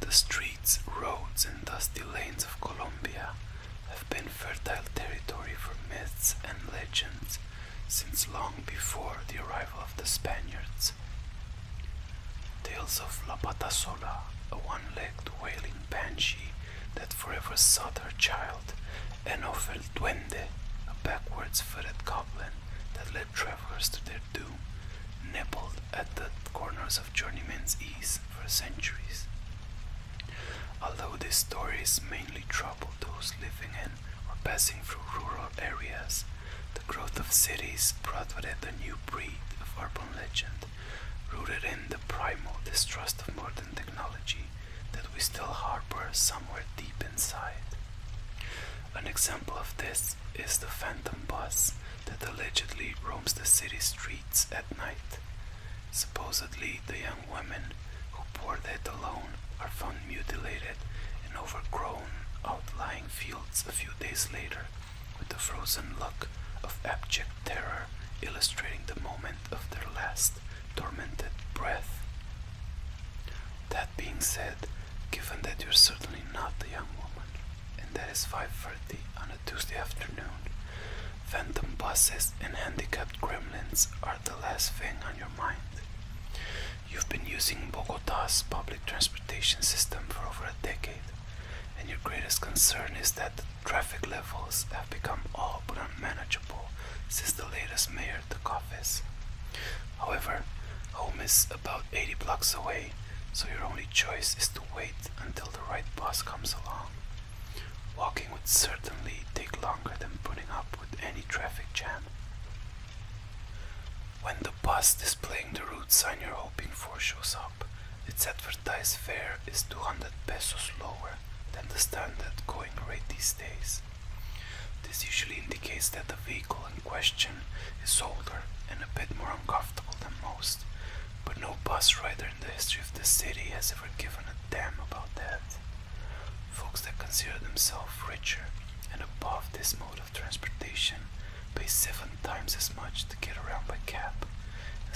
The streets, roads, and dusty lanes of Colombia have been fertile territory for myths and legends since long before the arrival of the Spaniards. Tales of La Patasola, a one legged wailing banshee that forever sought their child, and of dwende, a backwards footed goblin that led travelers to their doom, nibbled at the corners of journeyman's ease for centuries. Although these stories mainly trouble those living in or passing through rural areas, the growth of cities brought with it a new breed of urban legend, rooted in the primal distrust of technology that we still harbor somewhere deep inside. An example of this is the phantom bus that allegedly roams the city streets at night. Supposedly, the young women who pour that alone are found mutilated in overgrown, outlying fields a few days later, with the frozen look of abject terror illustrating the moment of their last tormented breath. That being said, given that you're certainly not a young woman, and that it's 5.30 on a Tuesday afternoon, phantom buses and handicapped gremlins are the last thing on your mind. You've been using Bogota's public transportation system for over a decade, and your greatest concern is that traffic levels have become all but unmanageable since the latest mayor took office. However, home is about 80 blocks away, so your only choice is to wait until the right bus comes along. Walking would certainly take longer than putting up with any traffic jam. When the bus displaying the route sign you're hoping for shows up, its advertised fare is 200 pesos lower than the standard going rate these days. This usually indicates that the vehicle in question is older and a bit more uncomfortable than most, but no bus rider in the history of the city has ever given a damn about that. Folks that consider themselves richer and above this mode of transportation pay seven times as much to get around by cab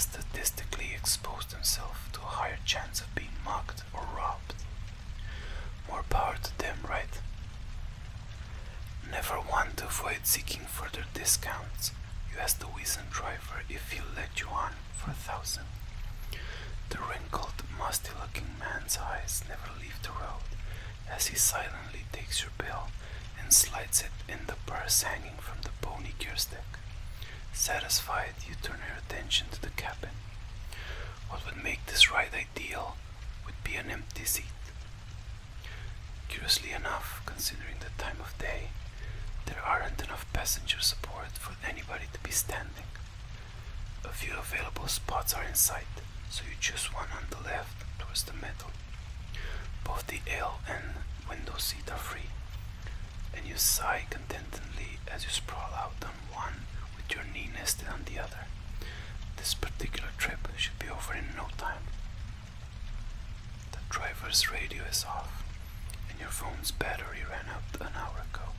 statistically expose themselves to a higher chance of being mocked or robbed. More power to them, right? Never want to avoid seeking further discounts. You ask the wizened driver if he'll let you on for a thousand. The wrinkled, musty-looking man's eyes never leave the road as he silently takes your bill and slides it in the purse hanging from the pony gear Satisfied, you turn your attention to the cabin. What would make this ride ideal would be an empty seat. Curiously enough, considering the time of day, there aren't enough passenger support for anybody to be standing. A few available spots are in sight, so you choose one on the left towards the middle. Both the L and window seat are free, and you sigh contentedly as you sprawl out on one with your knee nested on the other. This particular trip should be over in no time. The driver's radio is off, and your phone's battery ran out an hour ago,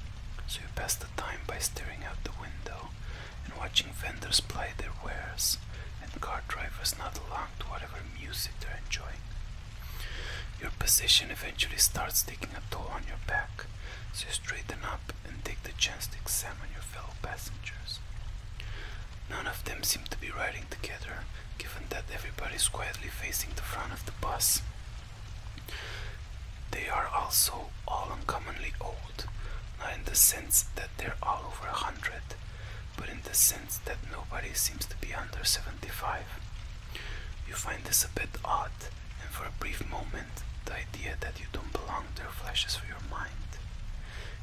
so you pass the time by staring out the window and watching vendors ply their wares and car drivers nod along to whatever music they're enjoying. Your position eventually starts taking a toll on your back, so you straighten up and take the chance to examine your fellow passengers. None of them seem to be riding together, given that everybody is quietly facing the front of the bus. They are also all uncommonly old, not in the sense that they're all over a hundred, but in the sense that nobody seems to be under 75. You find this a bit odd, and for a brief moment, the idea that you don't belong there flashes through your mind.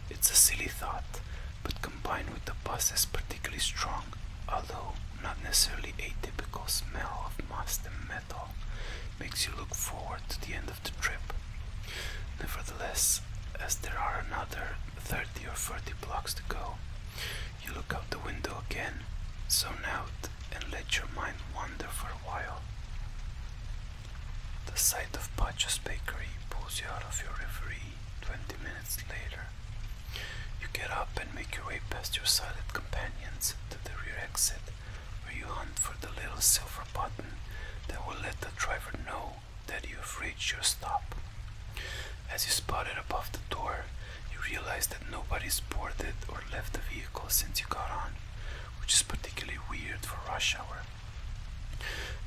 It's a silly thought, but combined with the buzz is particularly strong, although not necessarily a typical smell of must and metal makes you look forward to the end of the trip. Nevertheless, as there are another 30 or 40 blocks to go. You look out the window again, zone out, and let your mind wander for a while. The sight of Pacha's bakery pulls you out of your reverie 20 minutes later. You get up and make your way past your silent companions to the rear exit, where you hunt for the little silver button that will let the driver know that you've reached your stop. As you spot it above the door, you realize that nobody's boarded or left the vehicle since you got on, which is particularly weird for rush hour.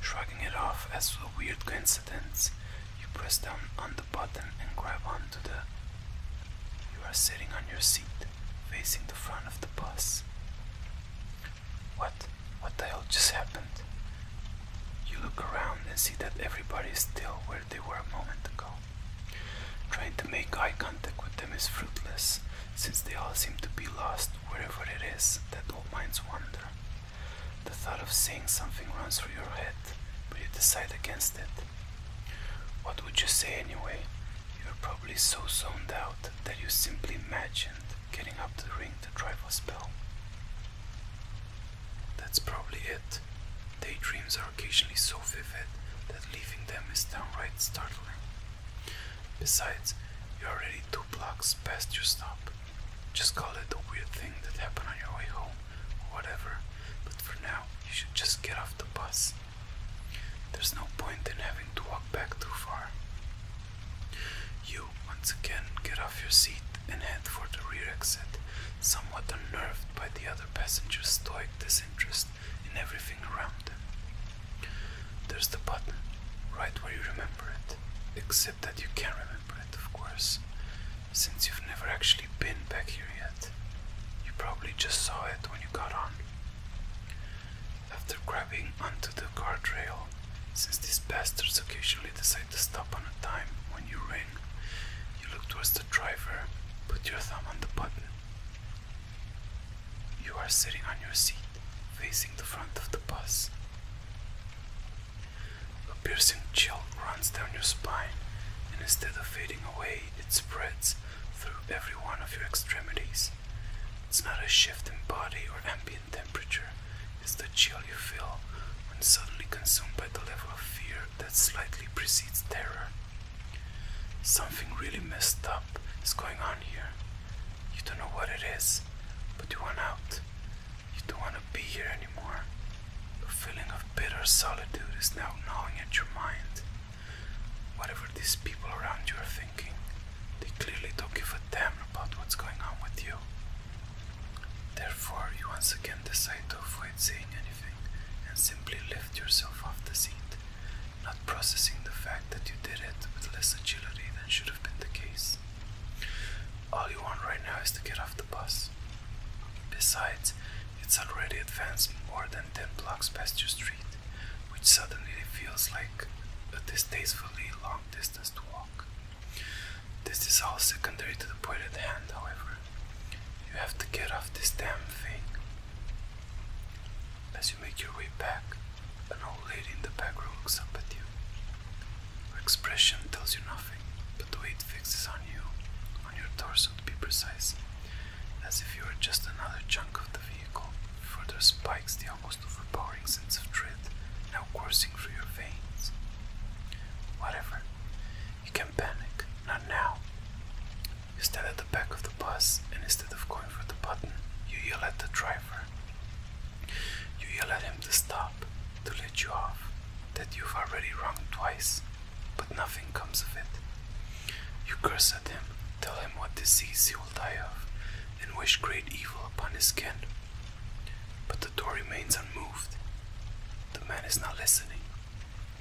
Shrugging it off as a weird coincidence, you press down on the button and grab onto the. You are sitting on your seat, facing the front of the bus. What? What the hell just happened? You look around and see that everybody is still where they were a moment ago. Trying to make eye contact with them is fruitless, since they all seem to be lost wherever it is that all minds wander. The thought of saying something runs through your head, but you decide against it. What would you say anyway? You're probably so zoned out that you simply imagine getting up to the ring to try for a spell. That's probably it. Daydreams are occasionally so vivid that leaving them is downright startling. Besides, you're already two blocks past your stop. Just call it a weird thing that happened on your way home, or whatever, but for now, you should just get off the bus. There's no point in having to walk back too far. You once again get off your seat and head for the rear exit, somewhat unnerved by the other passenger's stoic disinterest in everything around them. There's the button, right where you remember it, except that you can't remember it, of course, since you've never actually been back here yet. You probably just saw it when you got on. After grabbing onto the guardrail, since these bastards occasionally decide you look towards the driver, put your thumb on the button. You are sitting on your seat, facing the front of the bus. A piercing chill runs down your spine, and instead of fading away, it spreads through every one of your extremities. It's not a shift in body or ambient temperature, is the chill you feel when suddenly consumed by the level of fear that slightly precedes terror. Something really messed up is going on here. You don't know what it is, but you want out. You don't want to be here anymore. A feeling of bitter solitude is now gnawing at your mind. Whatever these people around you are thinking, they clearly don't give a damn about what's going on with you you. Therefore, you once again decide to avoid saying anything and simply lift yourself off the seat, not processing the fact that you did it with less agility than should have been the case. All you want right now is to get off the bus. Besides, it's already advanced more than 10 blocks past your street, which suddenly feels like a distastefully long distance to walk. This is all secondary to the point at hand, however. You have to get off this damn thing. As you make your way back, an old lady in the back row looks up at you. Her expression tells you nothing, but the way it fixes on you, on your torso to be precise, as if you were just another chunk of the vehicle, further spikes the almost overpowering sense of dread now coursing through your veins. Whatever. You can panic, not now. You stand at the back of the bus and instead of going for the button, you yell at the driver. You yell at him to stop, to let you off, that you've already wronged twice, but nothing comes of it. You curse at him, tell him what disease he will die of, and wish great evil upon his kin, but the door remains unmoved. The man is not listening,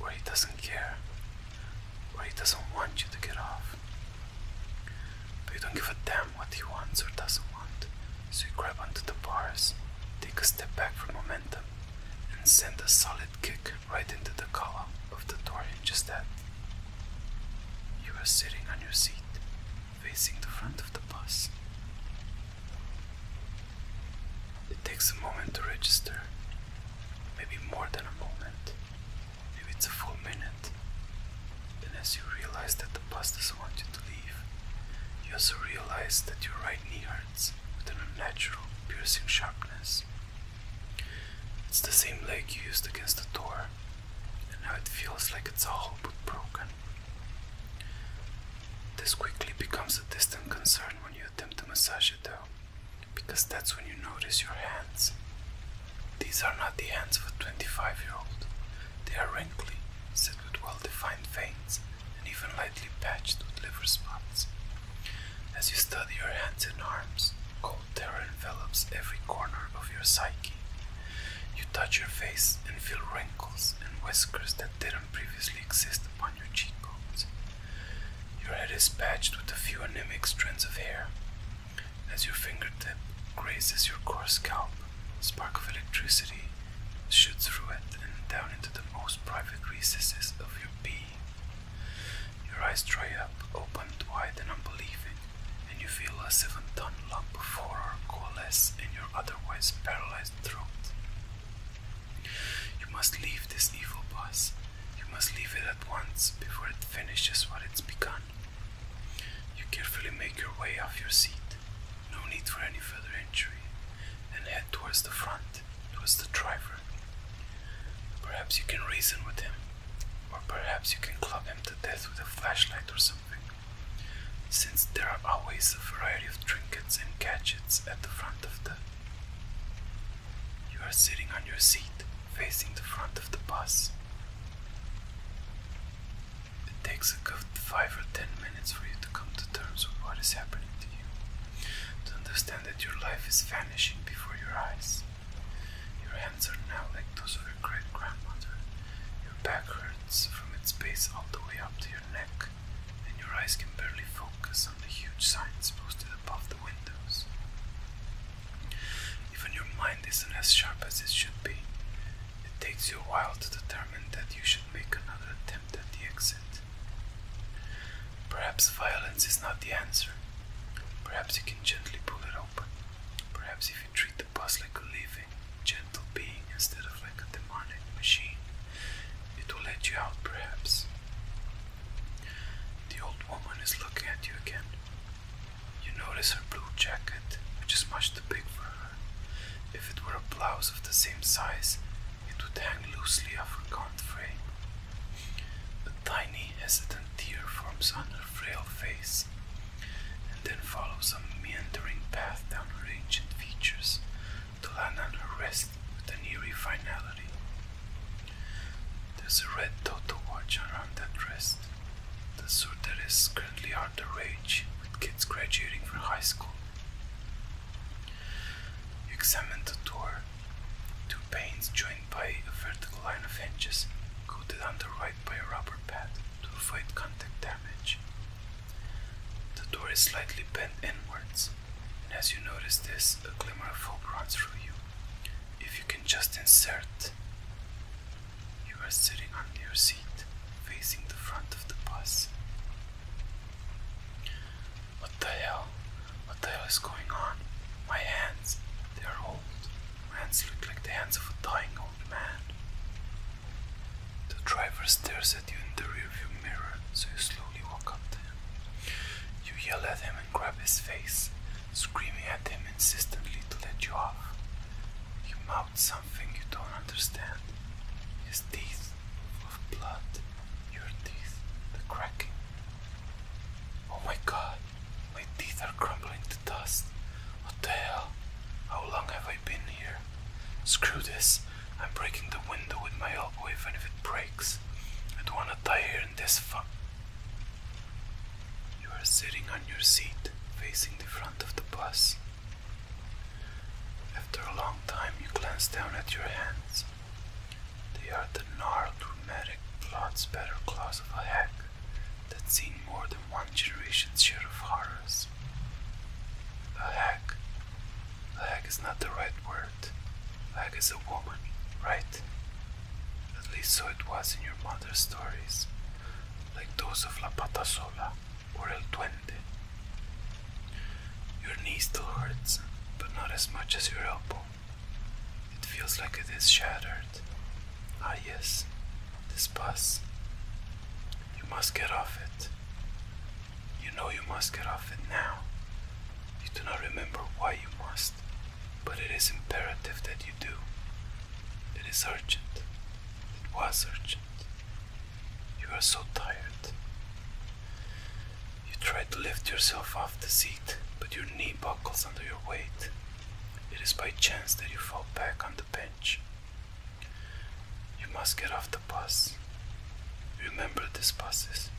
or he doesn't care, or he doesn't want you to get off. But you don't give a damn what he wants or doesn't want, so you grab onto the bars, take a step back for momentum, and send a solid kick right into the collar of the door hinges that you are sitting on your seat, facing the front of the bus. It takes a moment to register, maybe more than a moment, maybe it's a full minute. And as you realize that the bus doesn't want you to leave, you also realize that your right knee hurts with an unnatural, piercing sharpness. It's the same leg you used against the door, and now it feels like it's all but broken. This quickly becomes a distant concern when you attempt to massage it though, because that's when you notice your hands. These are not the hands of a 25 year old, they are wrinkly, set with well defined veins, and even lightly patched with liver spots. As you study your hands and arms, cold terror envelops every corner of your psyche, you touch your face and feel wrinkles and whiskers that didn't previously exist upon your cheekbones. Your head is patched with a few anemic strands of hair. As your fingertip grazes your coarse scalp, a spark of electricity shoots through it and down into the most private recesses of your being. Your eyes dry up, open wide and unbelieving and you feel a seven ton lump of horror coalesce in your otherwise paralyzed throat. You must leave this evil place. You must leave it at once before it finishes what it's begun. You carefully make your way off your seat, no need for any further injury, and head towards the front, towards the driver. Perhaps you can reason with him. Or perhaps you can club them to death with a flashlight or something. Since there are always a variety of trinkets and gadgets at the front of the. You are sitting on your seat, facing the front of the bus. It takes a good five or ten minutes for you to come to terms with what is happening to you, to understand that your life is vanishing before your eyes. Your hands are now like those of a great grandmother. Your back hurts from its base all the way up to your neck, and your eyes can barely focus on the huge signs posted above the windows. Even your mind isn't as sharp as it should be. It takes you a while to determine that you should make another attempt at the exit. Perhaps violence is not the answer. Perhaps you can gently pull it open. Perhaps if you treat the boss like a living, gentle being instead of like a demonic machine, it will let you out, perhaps. The old woman is looking at you again. You notice her blue jacket, which is much too big for her. If it were a blouse of the same size, it would hang loosely off her gaunt frame. A tiny, hesitant tear forms on her frail face and then follows a meandering path down her ancient features to land on her rest with an eerie finality. There's a red dot to watch around that rest. The sort that is currently under rage with kids graduating from high school. You examine the door. Two panes joined by a vertical line of hinges go down the by a rubber pad to avoid contact damage. The door is slightly bent inwards, and as you notice this, a glimmer of hope runs through you. If you can just insert, you are sitting on your seat, facing the front of the bus. What the hell? What the hell is going on? My hands, they are old. Hands look like the hands of a dying old man. The driver stares at you in the rearview mirror, so you slowly walk up to him. You yell at him and grab his face, screaming at him insistently to let you off. Your mouth something you don't understand. His teeth of blood, your teeth, the cracking. Oh my god, my teeth are crumbling to dust. What the hell? How long have I been here? Screw this. I'm breaking the window with my elbow even if it breaks. I don't wanna die here in this fuck. You are sitting on your seat, facing the front of the bus. After a long time, you glance down at your hands. They are the gnarled chromatic plots better claws of a hack that's seen more than one generation's share of horrors. A hack. A hack is not the right word. A hack is a woman, right? At least so it was in your mother's stories, like those of La Pata Sola or El Duende. Your knee still hurts, but not as much as your elbow. It feels like it is shattered. Ah, yes, this bus. You must get off it. You know you must get off it now. You do not remember why you must, but it is imperative that you do. It is urgent. It was urgent. You are so tired. You try to lift yourself off the seat, but your knee buckles under your weight. It is by chance that you fall back on the bench. You must get off the bus. Remember these buses.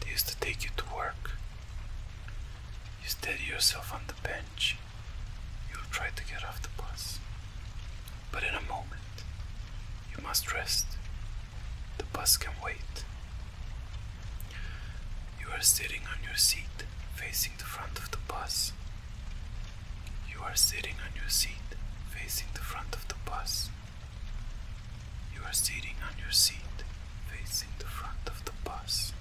They used to take you to work. You steady yourself on the bench. You'll try to get off the bus. But in a moment, you must rest. The bus can wait. You are sitting on your seat facing the front of the bus. You are sitting on your seat facing the front of the bus. You are sitting on your seat facing the front of the bus.